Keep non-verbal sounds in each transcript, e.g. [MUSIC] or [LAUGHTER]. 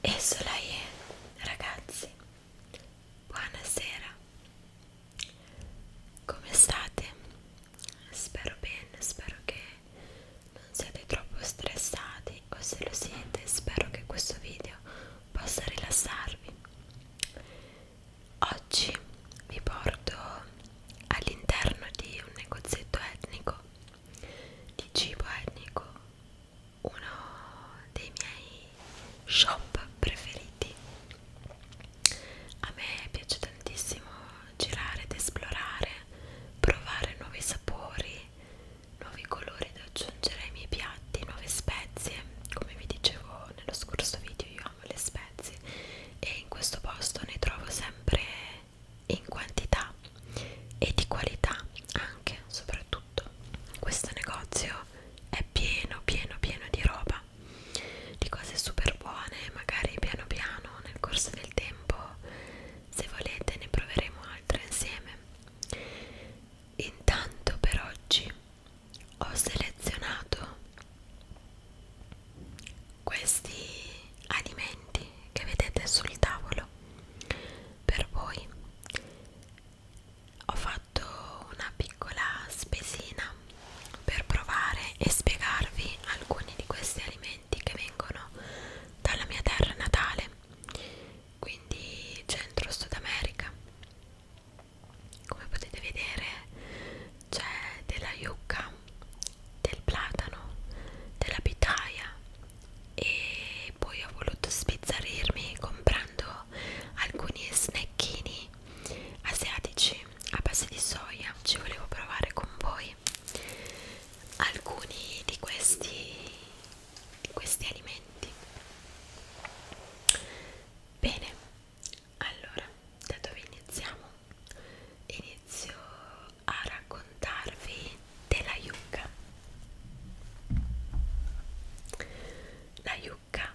E sola è, ragazzi, buonasera, come state? Spero bene, spero che non siete troppo stressati o se lo siete spero che questo video possa rilassarvi. Oggi vi porto all'interno di un negozietto etnico, di cibo etnico, uno dei miei shop preferiti. A me piace tantissimo girare ed esplorare, provare nuovi sapori nuovi colori da aggiungere ai miei piatti, nuove spezie come vi dicevo nello scorso video io amo le spezie e in questo posto ne trovo sempre in quantità e di qualità anche soprattutto questo negozio è pieno pieno pieno di roba di cose super buone magari piano piano nel corso del tempo se volete ne proveremo altre insieme. Intanto per oggi ho selezionato questi alimenti che vedete sul tavolo per voi. Ho fatto una piccola spesina per provare e spiegarvi alcuni di questi alimenti alimenti che vengono dalla mia terra natale, quindi Centro Sud America. Come potete vedere c'è della yucca, del platano, della pitaya e poi ho voluto spizzarirmi comprando alcuni snacchini asiatici a base di soia. Ci volevo provare con voi alcuni di questi, di questi alimenti bene allora da dove iniziamo inizio a raccontarvi della yucca la yucca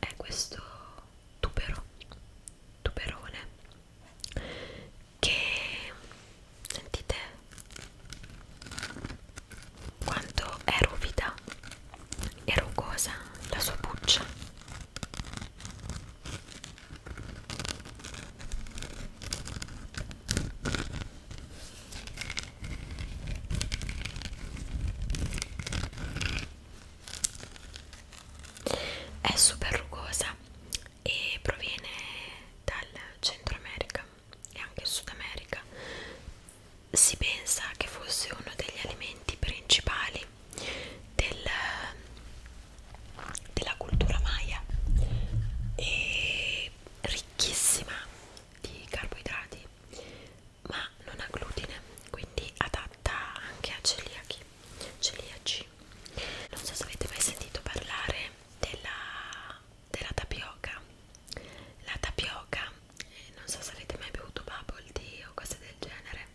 è questo tubero tuberone che sentite quanto è ruvida e rugosa la sua buccia è super rugosa e proviene dal Centro America e anche Sud America. Si pensa che fosse uno degli alimenti principali del, della cultura maya e ricchissima di carboidrati, ma non ha glutine, quindi adatta anche a celiachi, celiaci. Non so se avete mai sentito parlare della della tapioca la tapioca eh, non so se avete mai bevuto bubble tea o cose del genere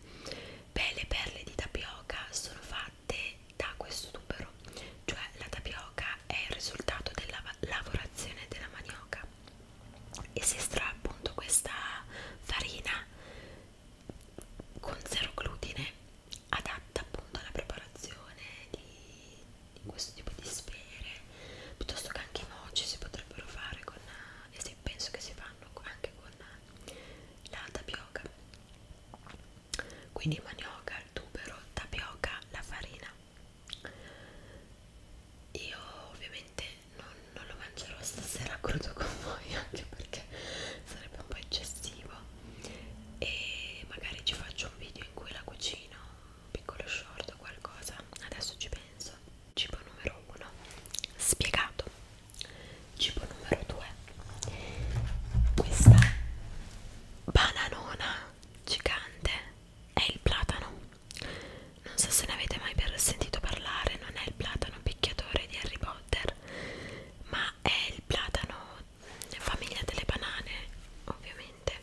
beh le perle di tapioca sono fatte da questo tubero cioè la tapioca è il risultato della lavorazione della manioca e si estrae appunto questa farina con zero glutine adatta appunto alla preparazione di, di questo tipo di sfere piuttosto che anche i moci si potrebbero fare con eh, e penso che si fanno anche con eh, la tapioca quindi manioca, il tubero, tapioca, la farina io ovviamente non, non lo mangerò stasera crudo con voi [LAUGHS] anche perché sarebbe un po' eccessivo e magari ci faccio un video in cui la cucino, un piccolo short o qualcosa, adesso ci penso. Cibo numero 1, spiegato. Cibo numero 2, questa bananona gigante è il platano. Non so se ne avete mai sentito parlare, non è il platano picchiatore di Harry Potter, ma è il platano famiglia delle banane ovviamente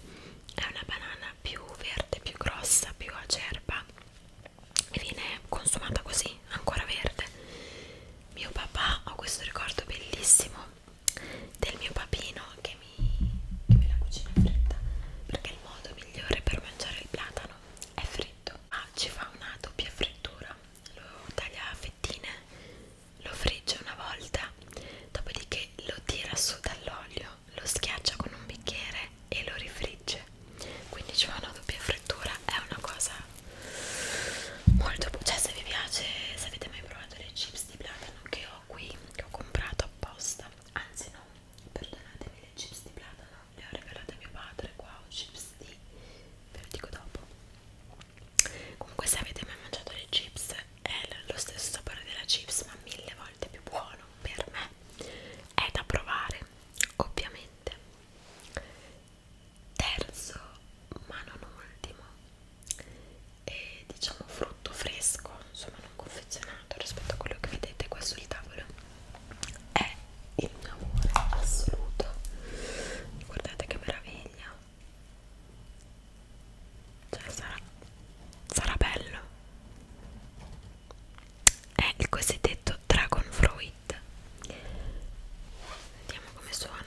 è una banana più verde, più grossa, più acerba e viene consumata così, ancora verde. Mio papà, ho questo ricordo bellissimo del mio papino che mi, che me la cucina fritta perché il modo migliore per mangiare il platano è fritto. Ah, ci fa una doppia frittura, lo taglia a fettine, lo frigge una volta, dopodiché lo tira su dall'olio, lo schiaccia con un bicchiere e lo rifrigge. Quindi c'è una doppia frittura, è una cosa molto buona. Cioè, se vi piace, se avete mai provato le chips di platano che ho qui, che ho comprato apposta, anzi no, perdonatemi le chips di platano, le ho regalate a mio padre qua, ho chips di ve lo dico dopo comunque se avete mai mangiato le chips è lo stesso sapore della chips ma mille volte più buono per me è da provare ovviamente terzo ma non ultimo è diciamo frutto fresco insomma non confezionato rispetto a quello che vedete qua sul tavolo è il mio amore assoluto guardate che meraviglia cioè sarà, sarà bello È il cosiddetto Dragon Fruit Vediamo come suona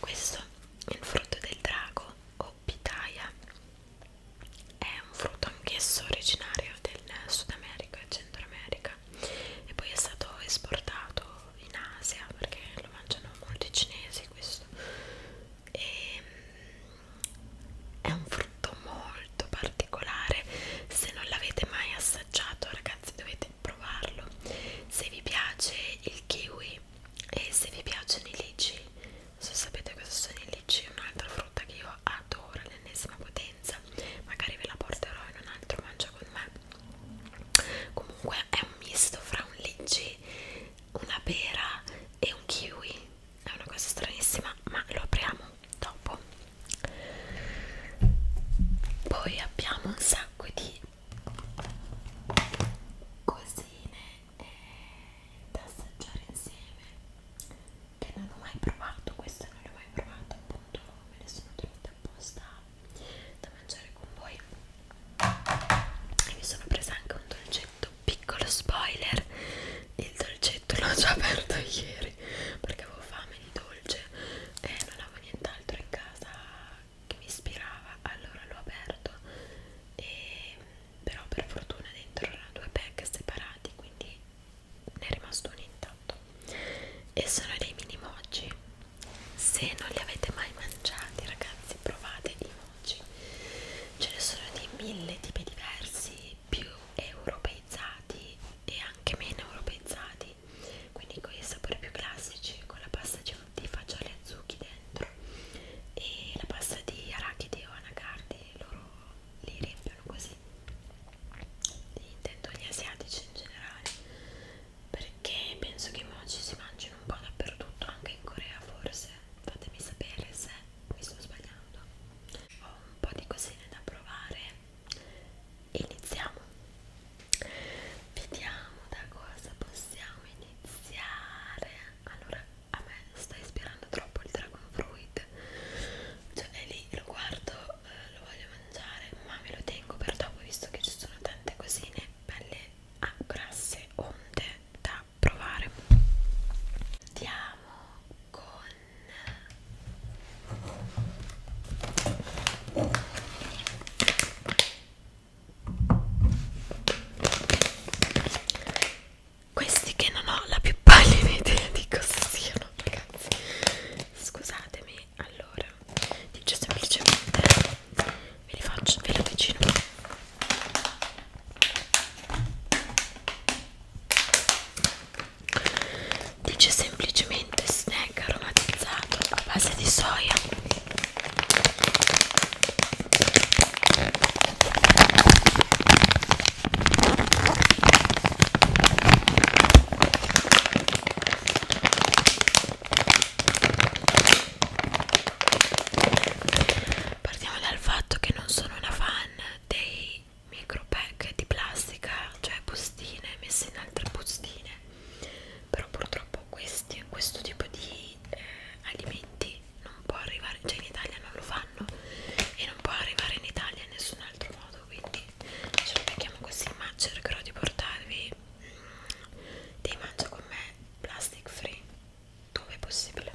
questo, il frutto del drago o pitaya, è un frutto anch'esso originario del Sud America e Centro America e poi è stato esportato in Asia perché lo mangiano molti cinesi questo e mm, è un frutto molto particolare se non l'avete mai assaggiato ragazzi dovete potete provarlo se vi piace il kiwi e se vi piacciono i lici se sapete cosa sono i lici un'altra frutta che io adoro l'ennesima potenza magari ve la porterò in un altro mangio con me comunque è un misto fra un lici una pera e un kiwi è una cosa stranissima ma lo apriamo dopo poi abbiamo un sacco di cosine e da assaggiare insieme che non ho mai provato questa non l'ho mai provato appunto me le sono tenute apposta da mangiare con voi e mi sono presa anche un dolcetto piccolo spoiler il dolcetto l'ho già aperto ieri perché avevo fame di dolce e non avevo nient'altro in casa che mi ispirava allora l'ho aperto e, però per fortuna dentro erano due pack separati quindi ne è rimasto un intatto e sono dei mini mochi se non li avete mai mangiati ragazzi provate i mochi ce ne sono di mille tipi diversi più europeizzati e anche meno europeizzati quindi con i sapori più classici con la pasta di fagioli e zucchi dentro e la pasta di arachidi o anacardi loro li riempiono così intendo gli asiatici in generale perché penso che i mochi si mangino un po' dappertutto anche in Corea forse fatemi sapere se mi sto sbagliando ho un po' di cosine da provare iniziamo Vediamo da cosa possiamo iniziare. Allora, a me sta ispirando troppo il dragon fruit. Cioè, è lì lo guardo, eh, lo voglio mangiare, ma me lo tengo per dopo visto che ci sono tante cosine belle a ah, grasse onde da provare. Andiamo con questi che non ho la più pallida idea di cosa siano, ragazzi. Scusatemi, allora, dice semplicemente ve li faccio, ve li avvicino. Dice semplicemente snack aromatizzato a base di soia Partiamo dal fatto che non sono una fan dei micro pack di plastica, cioè bustine messe in altre bustine però purtroppo questi, questo tipo di eh, alimenti non può arrivare, cioè in Italia non lo fanno e non può arrivare in Italia in nessun altro modo quindi ce lo mettiamo così ma cercherò di portarvi mm, dei mangia con me plastic free dove è possibile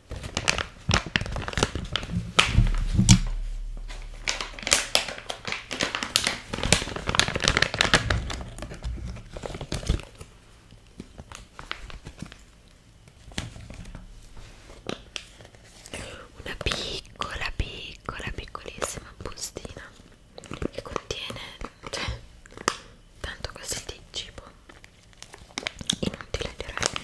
Una piccola, piccola, piccolissima bustina che contiene, cioè, tanto così di cibo inutile direi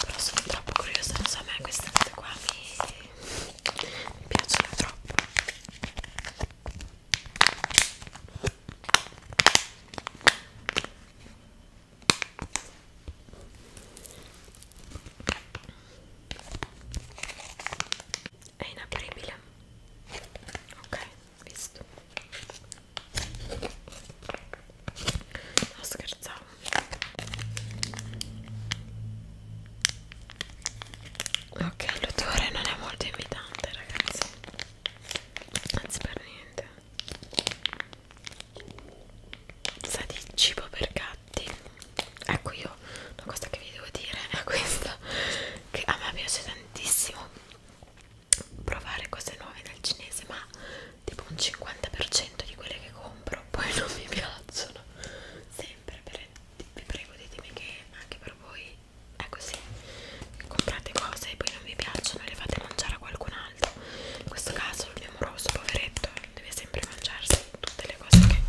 però sono troppo curiosa non so a me queste cose qua mi, mi piacciono troppo è inapribile ok questo no scherzavo ok l'odore non è molto invitante ragazzi anzi per niente sa di cibo per gatti ecco io una cosa che vi devo dire è questa che a me piace tantissimo provare cose nuove dal cinese ma tipo un 50% di quelle che compro [LAUGHS] poi non mi piacciono sempre per, vi prego ditemi che anche per voi è così comprate cose e poi non vi piacciono e le fate mangiare a qualcun altro in questo caso il mio amoroso poveretto deve sempre mangiarsi tutte le cose che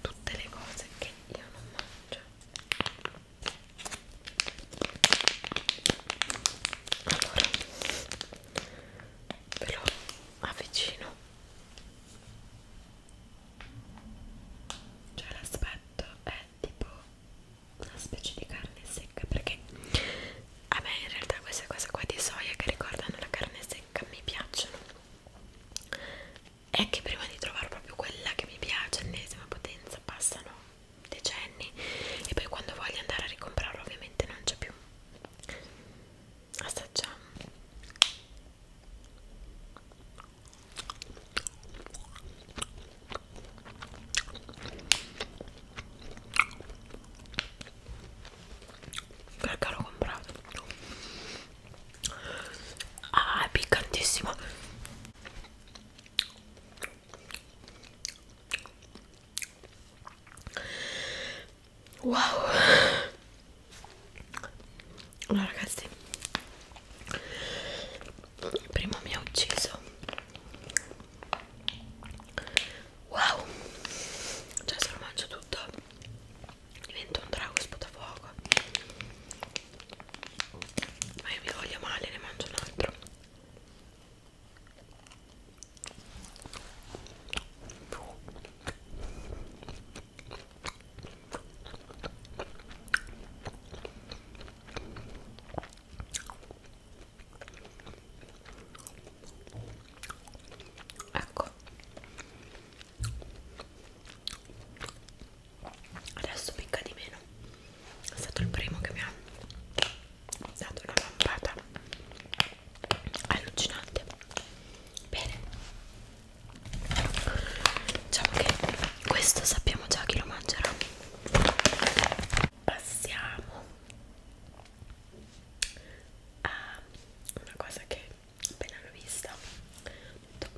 tutte le cose che io non mangio allora ve lo avvicino cioè l'aspetto è tipo una specie di carne secca perché a me in realtà queste cose qua di soia che ricordano la carne secca mi piacciono è che prima di trovare proprio quella che mi piace all'esima potenza passano decenni e poi quando voglio andare a ricomprarlo ovviamente non c'è più assaggiamo perché l'ho comprato ah è piccantissimo wow allora ragazzi prima mi ha ucciso wow cioè se lo mangio tutto divento un drago sputafuoco ma io mi voglio male ne mangio un altro Ecco, adesso picca di meno è stato il primo che mi ha dato una lampata allucinante bene diciamo che questo sappiamo già chi lo mangerà passiamo a una cosa che appena l'ho vista ho detto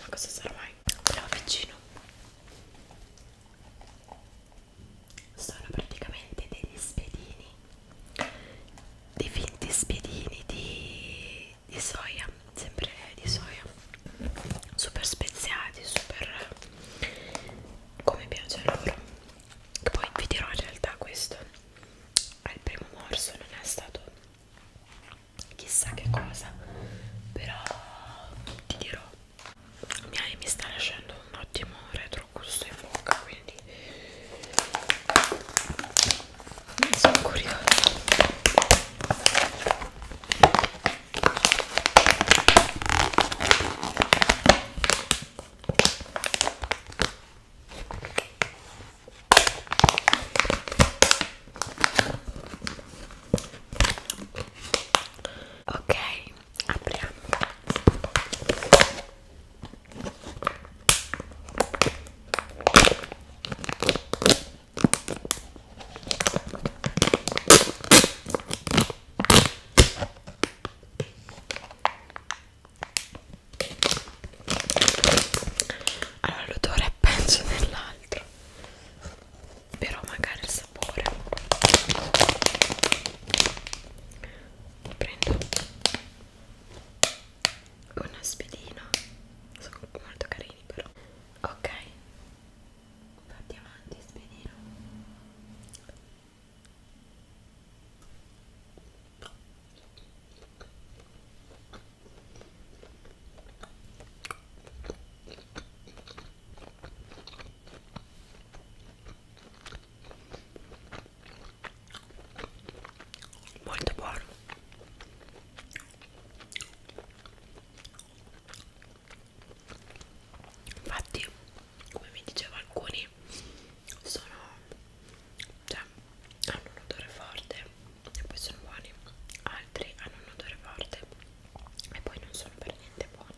ma cosa sarà mai? Però vicino sono praticamente degli spiedini dei finti spiedini di, di soia sempre di soia super speziati super come piace a loro che poi vi dirò in realtà questo al primo morso non è stato chissà che cosa però ti dirò mi, mi sta lasciando un ottimo retrogusto in bocca quindi sono curiosa Ok, apriamo. Allora l'odore è peggio dell'altro però magari il sapore prendo una spedina sono molto carini però ok fatti avanti spedino molto buono infatti come mi dicevo alcuni sono cioè hanno un odore forte e poi sono buoni altri hanno un odore forte e poi non sono per niente buoni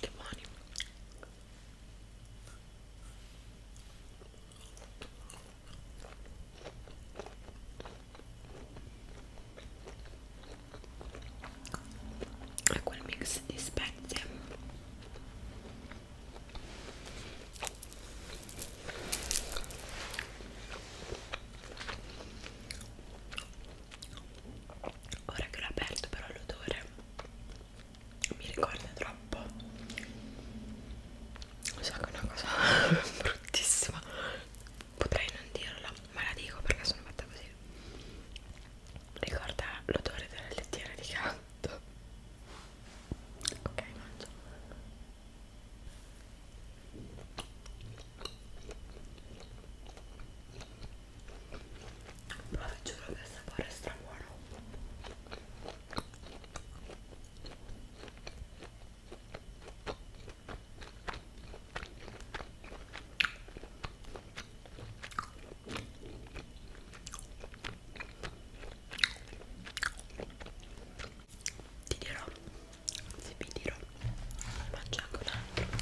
che buoni. E quel mix di spezie Ora che l'ho aperto però l'odore mi ricorda troppo. So che è una cosa [LAUGHS] bruttissima. Potrei non dirla, ma la dico perché sono fatta così. Ricorda l'odore della lettiera di gatto. Ok, mangio ma vi giuro che sapore stra buono ti dirò se vi dirò mangio anche un altro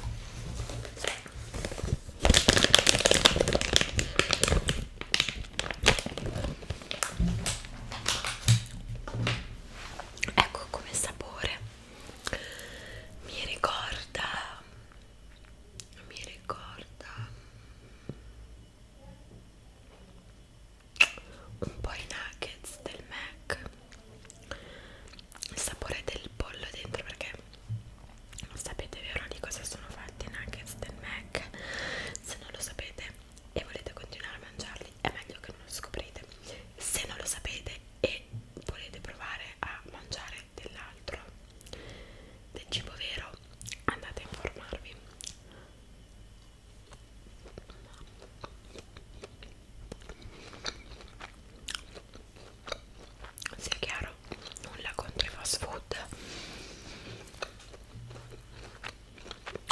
ecco come sapore mi ricorda mi ricorda un po' i nuggets del Mac il sapore del pollo dentro perché non sapete vero di cosa sono fatti i nuggets del Mac se non lo sapete e volete continuare a mangiarli è meglio che non lo scoprite se non lo sapete e volete provare a mangiare dell'altro del cibo vero andate a informarvi sia chiaro nulla contro i fast food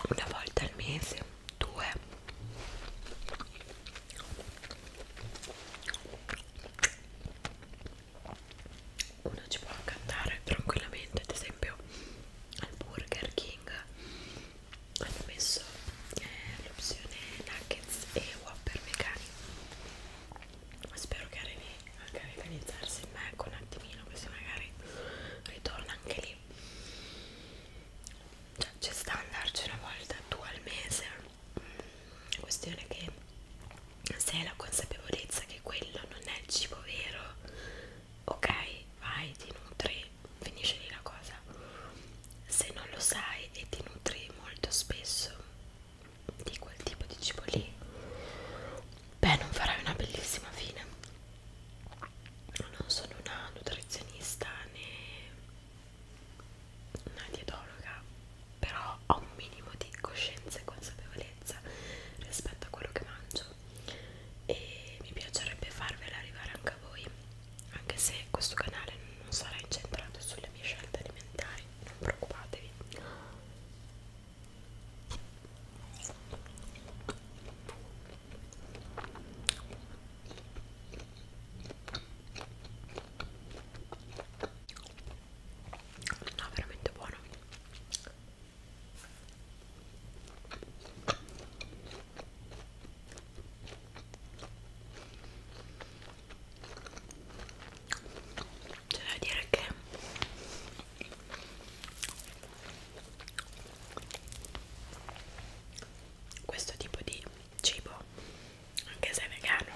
una volta al mese due uno ci può anche andare tranquillamente ad esempio al Burger King hanno messo eh, l'opzione nuggets e whopper vegani spero che anche organizzarsi ma ecco un attimino così magari ritorna anche lì cioè c'è sta andarci una volta tu al mese la mm, questione che se hai la consapevolezza che quello non è il cibo vero ok vai ti nutri finisce lì la cosa se non lo sai e ti nutri molto spesso di quel tipo di cibo lì beh non farai una bellissima fine non sono una nutrizionista né una dietologa però ho un minimo di coscienza e consapevolezza rispetto a quello che mangio e mi piacerebbe farvela arrivare anche a voi anche se questo canale non sarà incentrato sulle mie scelte alimentari non preoccupatevi No, veramente buono c'è da dire che questo tipo di cibo, anche se è vegano,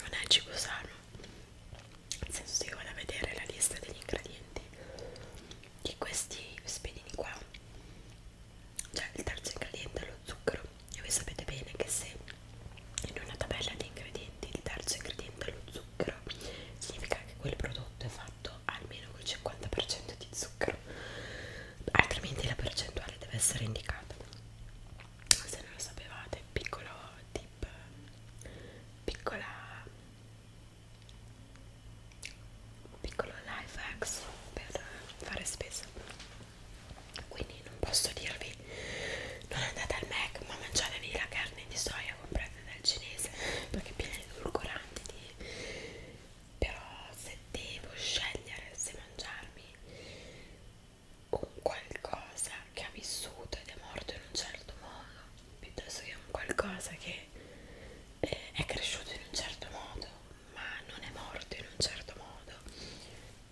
non è cibo sano. Nel senso, se io vado a vedere la lista degli ingredienti di questi spiedini qua cioè il terzo ingrediente è lo zucchero e voi sapete bene che se in una tabella di ingredienti il terzo ingrediente è lo zucchero significa che quel prodotto è fatto almeno col 50% di zucchero altrimenti la percentuale deve essere indicata se non lo sapevate piccolo tip piccola piccolo life hacks per fare spesa quindi non posso dirvi non andate al Mac ma mangiatevi la carne di soia comprata dal cinese perché è piena di edulcoranti di... però se devo scegliere se mangiarmi un qualcosa che ha vissuto ed è morto in un certo modo piuttosto che un qualcosa che eh, è cresciuto in un certo modo ma non è morto in un certo modo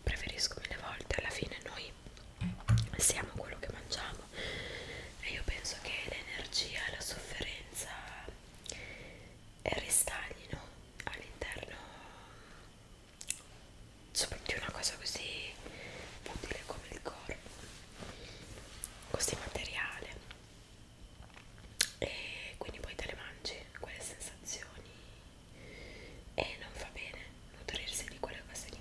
preferisco mille volte alla fine noi siamo quello che mangiamo e io penso che l'energia e la sofferenza restaglino all'interno di una cosa così utile come il corpo così materiale e quindi poi te le mangi quelle sensazioni e non fa bene nutrirsi di quelle cose lì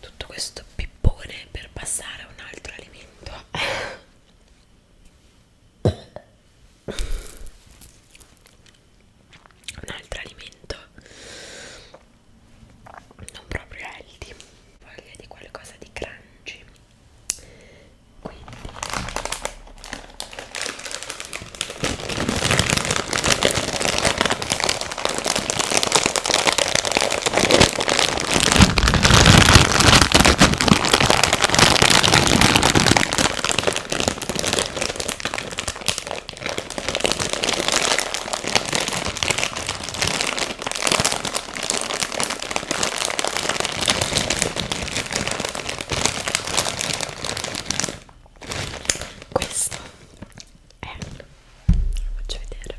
tutto questo pippone per passare a un altro alimento un altro alimento non proprio healthy voglia di qualcosa di crunchy quindi questo è lo faccio vedere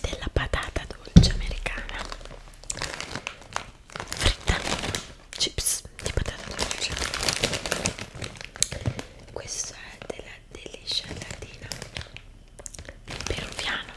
della patata dolce americana fritta chips di patata dolce questo è della degli sciallatino peruviano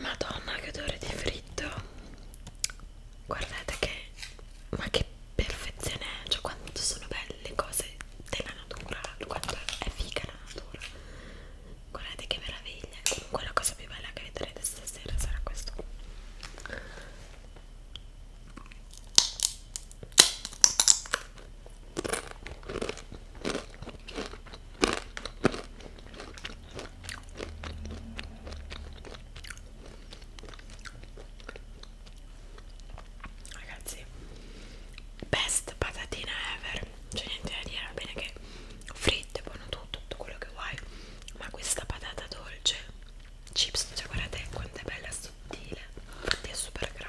Madonna che odore di fritto Guardate che ma che perfezione è Cioè quanto sono belle le cose della natura Quanto è figa la natura Guardate che meraviglia Comunque la cosa più bella che vedrete stasera sarà questo Ragazzi, best patatina ever. C'è niente da dire, va bene che fritte, buono tutto, tutto quello che vuoi. Ma questa patata dolce chips cioè guardate quanto è bella sottile infatti è super grande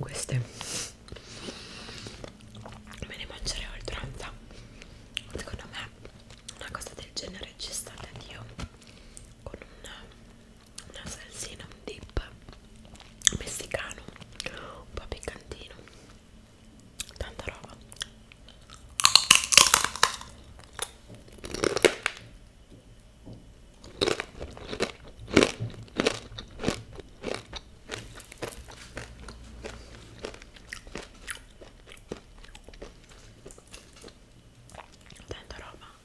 Queste me ne mangerei oltranza. Secondo me una cosa del genere ci sta da Dio con un una salsina, un dip messicano un po' piccantino tanta roba tanta roba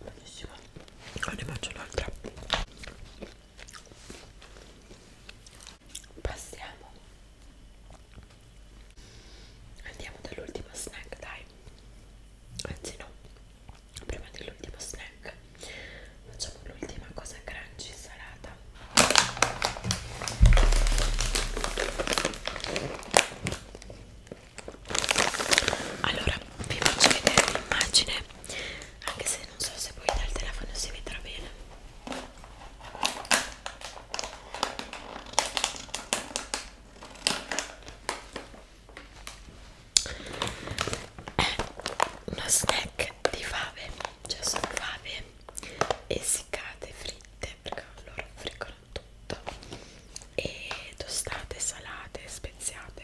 buonissima ne mangio un'altra passiamo andiamo dall'ultimo snack dai anzi no prima dell'ultimo snack facciamo l'ultima cosa crunchy salata allora vi faccio vedere l'immagine anche se non so se poi dal telefono si vedrà bene è uno snack di fave cioè sono fave essiccate fritte perché loro friggono tutto e tostate salate speziate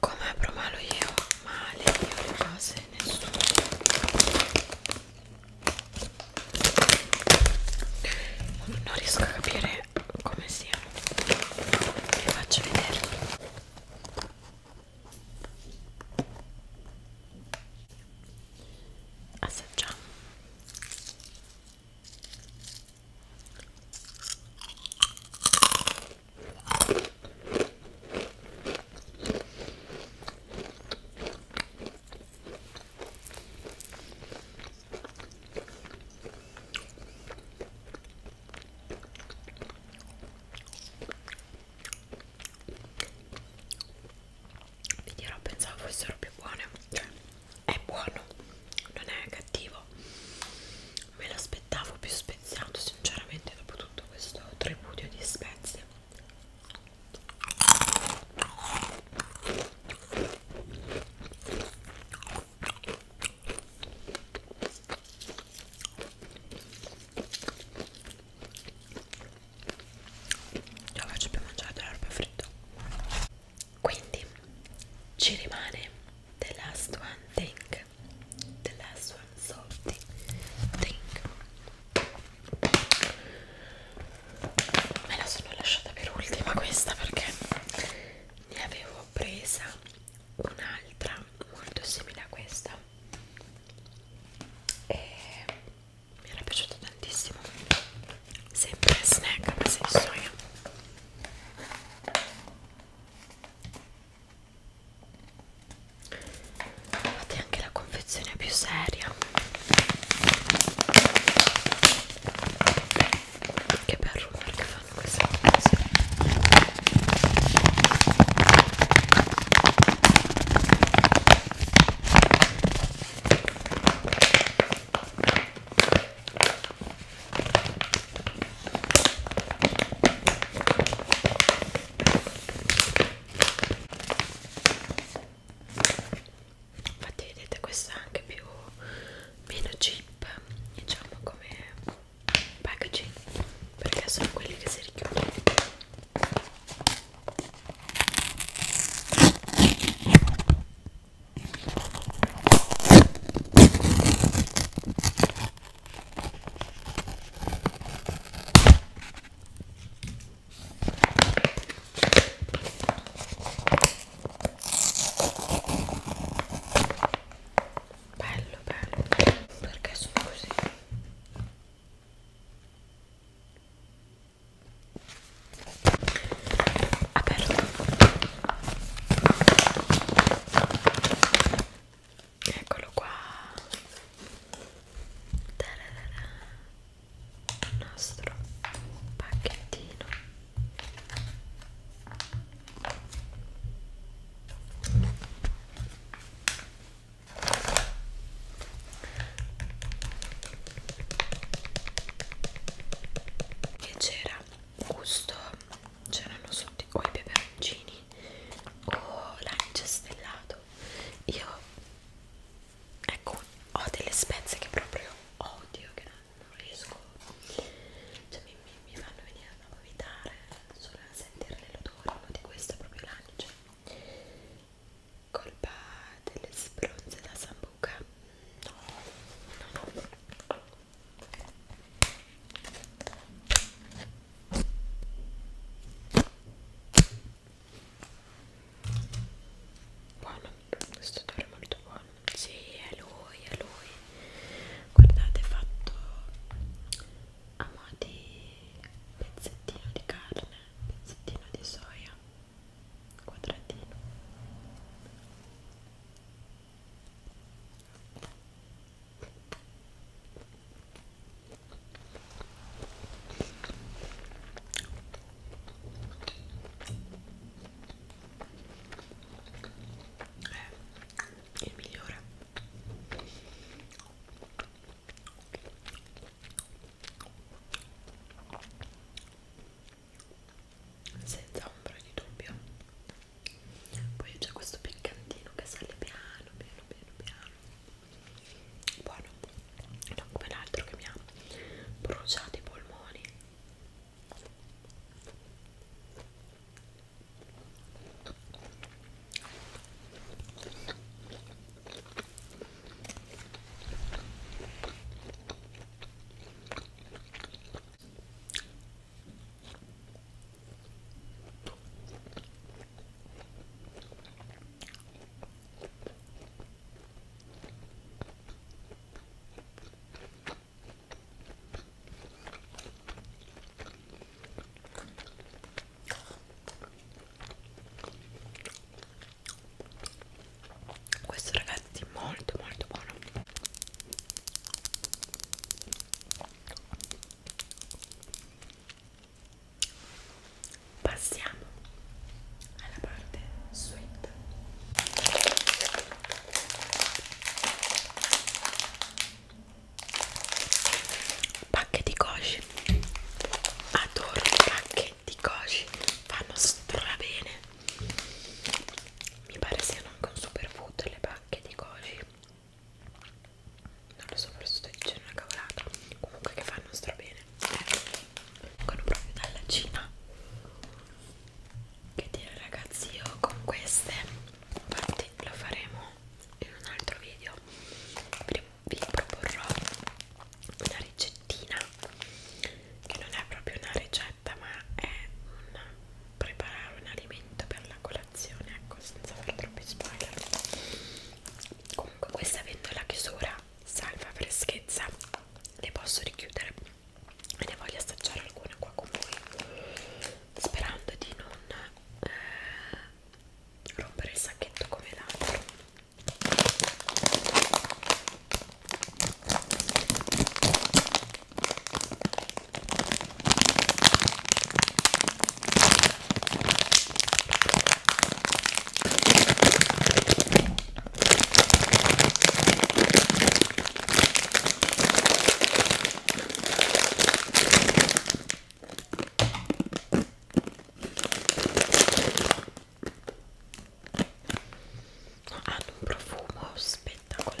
come provalo io male io le cose nessuno non riesco a capire come sia vi faccio vedere assaggiamo vi dirò pensavo fossero più buone cioè è buono non è cattivo me l'aspettavo più speziato sinceramente dopo tutto questo tripudio di spezie io faccio più mangiare dell'erba fritta quindi ci rimane The Last One Thing drink the last one salty drink me la sono lasciata per ultima questa perché ne avevo presa un'altra molto simile a questa e mi era piaciuta tantissimo sempre snack senso io fate anche la confezione più seria che per rumore che fanno queste cose infatti vedete questa è anche più meno cheap diciamo come packaging perché sono quelli che si richiudono Bello, bello. Perché sono così? Aperto eccolo qua Tararara. il nostro pacchettino che c'era gusto c'erano sotto i peperoncini o l'anice stellato io ecco ho delle spezie che proprio odio che non, non riesco cioè mi, mi, mi fanno venire a vomitare solo a sentirne l'odore uno di questo è proprio l'anice cioè, colpa delle spronze da sambuca no no no Buono, questo odore è molto buono. Sì, è lui, è lui. Guardate, è fatto a mo' di pezzettino di carne, pezzettino di soia, quadratino è eh, il migliore senza ombra di dubbio poi c'è questo piccantino che sale piano piano piano piano buono non come l'altro che mi ha bruciato i polmoni questo ragazzi è molto molto buono passiamo alla parte sweet pacchetti koji adoro i pacchetti koji fanno strabene mi pare siano anche un superfood le pacche di koji non lo so forse sto dicendo una cavolata comunque che fanno stra bene vengono eh, proprio dalla Cina che dire ragazzi io con queste infatti lo faremo in un altro video vi proporrò una ricettina che non è proprio una ricetta ma è un preparare un alimento per la colazione lavorazione ecco senza fare troppi spoiler comunque questa vendola chiusura salva freschezza le posso richiudere e ne voglio assaggiare alcune qua con voi sperando di non eh, rompere il sacchetto come l'altro No, hanno un profumo spettacolare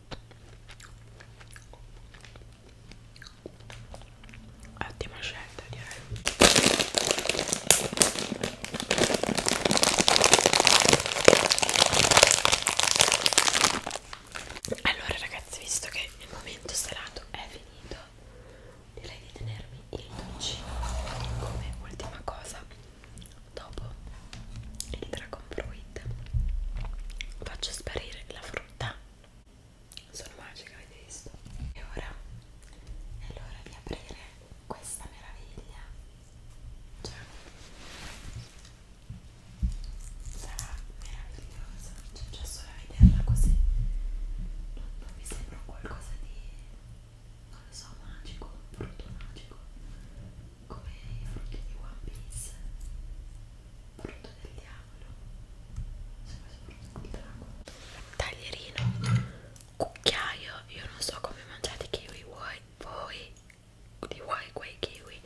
ottima scelta direi allora ragazzi visto che il momento salato è finito direi di tenermi il dolcino come ultima cosa dopo il dragon fruit faccio sparire la frutta sono magica avete visto e ora è l'ora di aprire questa meraviglia cioè sarà meravigliosa cioè già solo a vederla così non, non mi sembra qualcosa di non lo so magico brutto magico come anche di One Piece frutto del diavolo se del drago taglierino cucchiaio io non so come mangiate kiwi voi voi di voi quei kiwi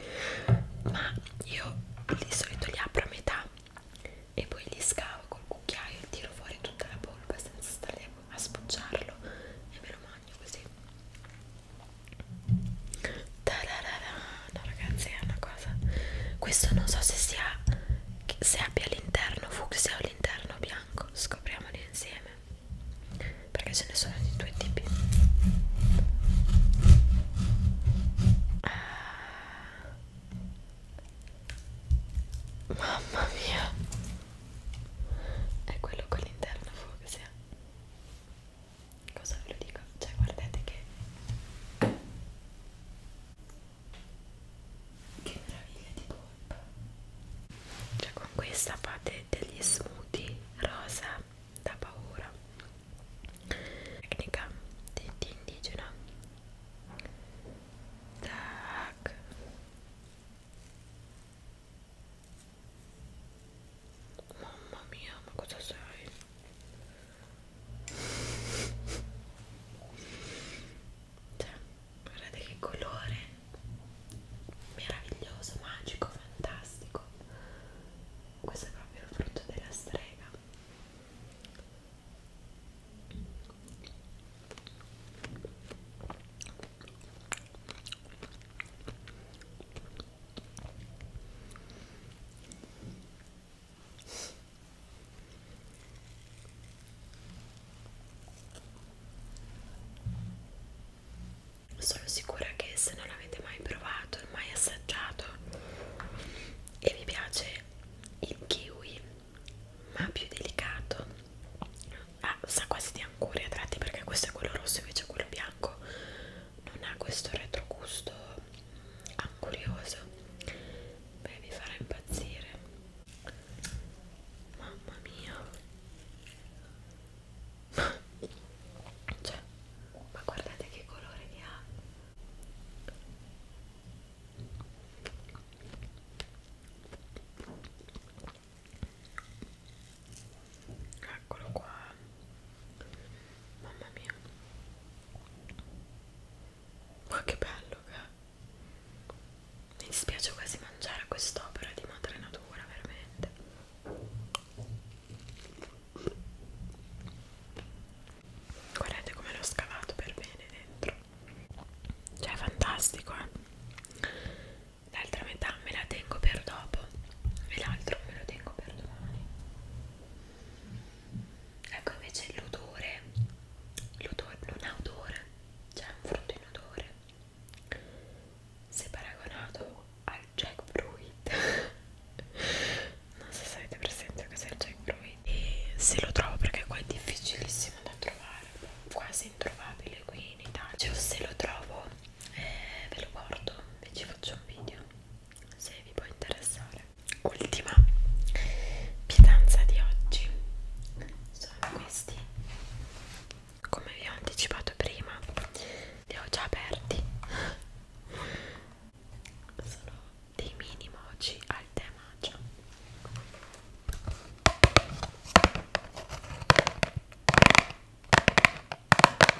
ma io di solito li apro a metà e poi li scavo col cucchiaio e tiro fuori tutta la polpa senza stare a spucciarlo e me lo mangio bagno così no ragazzi è una cosa questo non so se sia se abbia l'interno fucsia o l'interno bianco scopriamoli insieme perché ce ne sono di due tipi ah. mamma mia è quello con l'interno fucsia cosa ve lo dico? Cioè guardate che che meraviglia di polpa cioè con questa fate degli smoothie rosa da paura tecnica di, di indigena tac Mamma mia, ma cosa sei? Cioè, guardate che colore meraviglioso, magico, fantastico. Questo è proprio il frutto della strega. Sono sicura che se non l'avete mai provato e mai assaggiato e vi piace il kiwi ma più delicato ah, sa quasi di anguria a tratti perché questo è quello rosso invece quello bianco non ha questo retrogusto angurioso beh vi farà impazzire mamma mia cioè ma guardate che colore che ha eccolo qua mamma mia ma che bello che eh. mi dispiace quasi mangiare quest'opera di madre natura veramente guardate come l'ho scavato per bene dentro cioè è fantastico eh l'altra metà me la tengo per dopo e l'altro me lo tengo per domani ecco invece l'odore l'odore non ha odore cioè è un frutto in odore se paragonato al jackfruit [LAUGHS] non so se avete presente cos'è il jackfruit e se lo trovo perché qua è difficilissimo da trovare quasi introvabile qui in Italia cioè, se lo trovo e eh, ve lo guardo e ci faccio un video se vi può interessare ultima pietanza di oggi sono questi come vi ho anticipato prima li ho già aperti sono dei mini mochi al tè matcha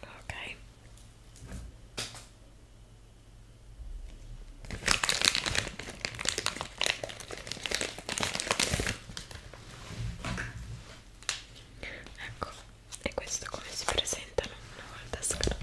ok ecco e questo come si presentano una volta scartati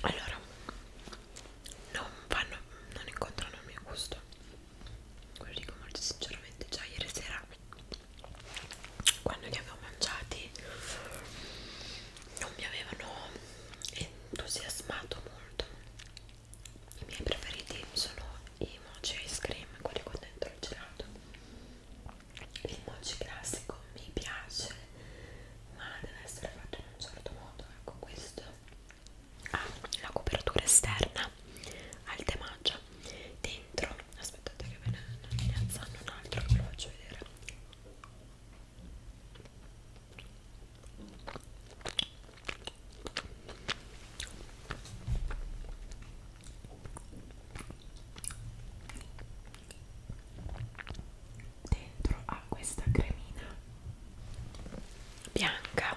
allora non vanno non incontrano il mio gusto ve lo dico molto sinceramente già ieri sera quando li avevo mangiati non mi avevano entusiasmato molto i miei preferiti sono i mochi ice cream, quelli con dentro il gelato il mochi classico mi piace ma deve essere fatto in un certo modo ecco questo ha ah, la copertura esterna al temaggia dentro aspettate che ve ne, ne alzano un altro che ve lo faccio vedere dentro a questa cremina bianca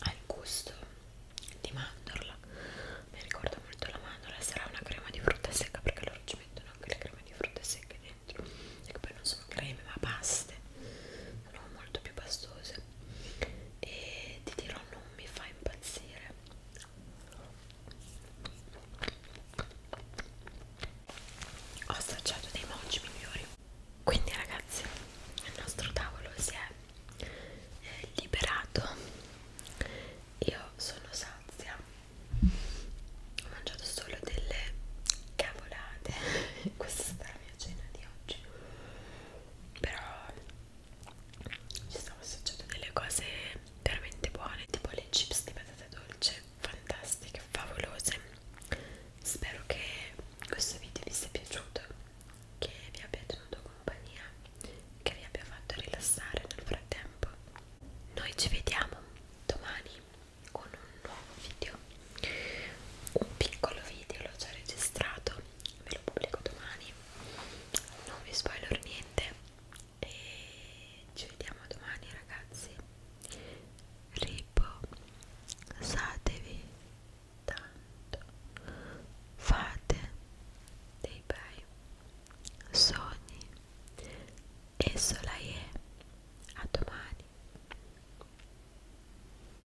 al gusto di mandorla mi ricorda molto la mandorla sarà una crema di frutta secca perché loro ci mettono anche le creme di frutta secche dentro e che poi non sono creme ma paste no, molto più pastose e ti dirò non mi fa impazzire ho assaggiato dei mochi migliori quindi ragazzi il nostro tavolo si è eh, liberato io sono sazia ho mangiato solo delle cavolate [LAUGHS] questa è stata la mia cena di oggi però ci stavo assaggiando delle cose veramente buone tipo le chips di patate dolce fantastiche, favolose spero che questo video vi sia piaciuto che vi abbia tenuto compagnia che vi abbia fatto rilassare nel frattempo noi ci vediamo domani con un nuovo video un piccolo video l'ho già registrato ve lo pubblico domani non vi spoiler niente e ci vediamo domani ragazzi riposatevi tanto fate dei bei sogni e sola è a domani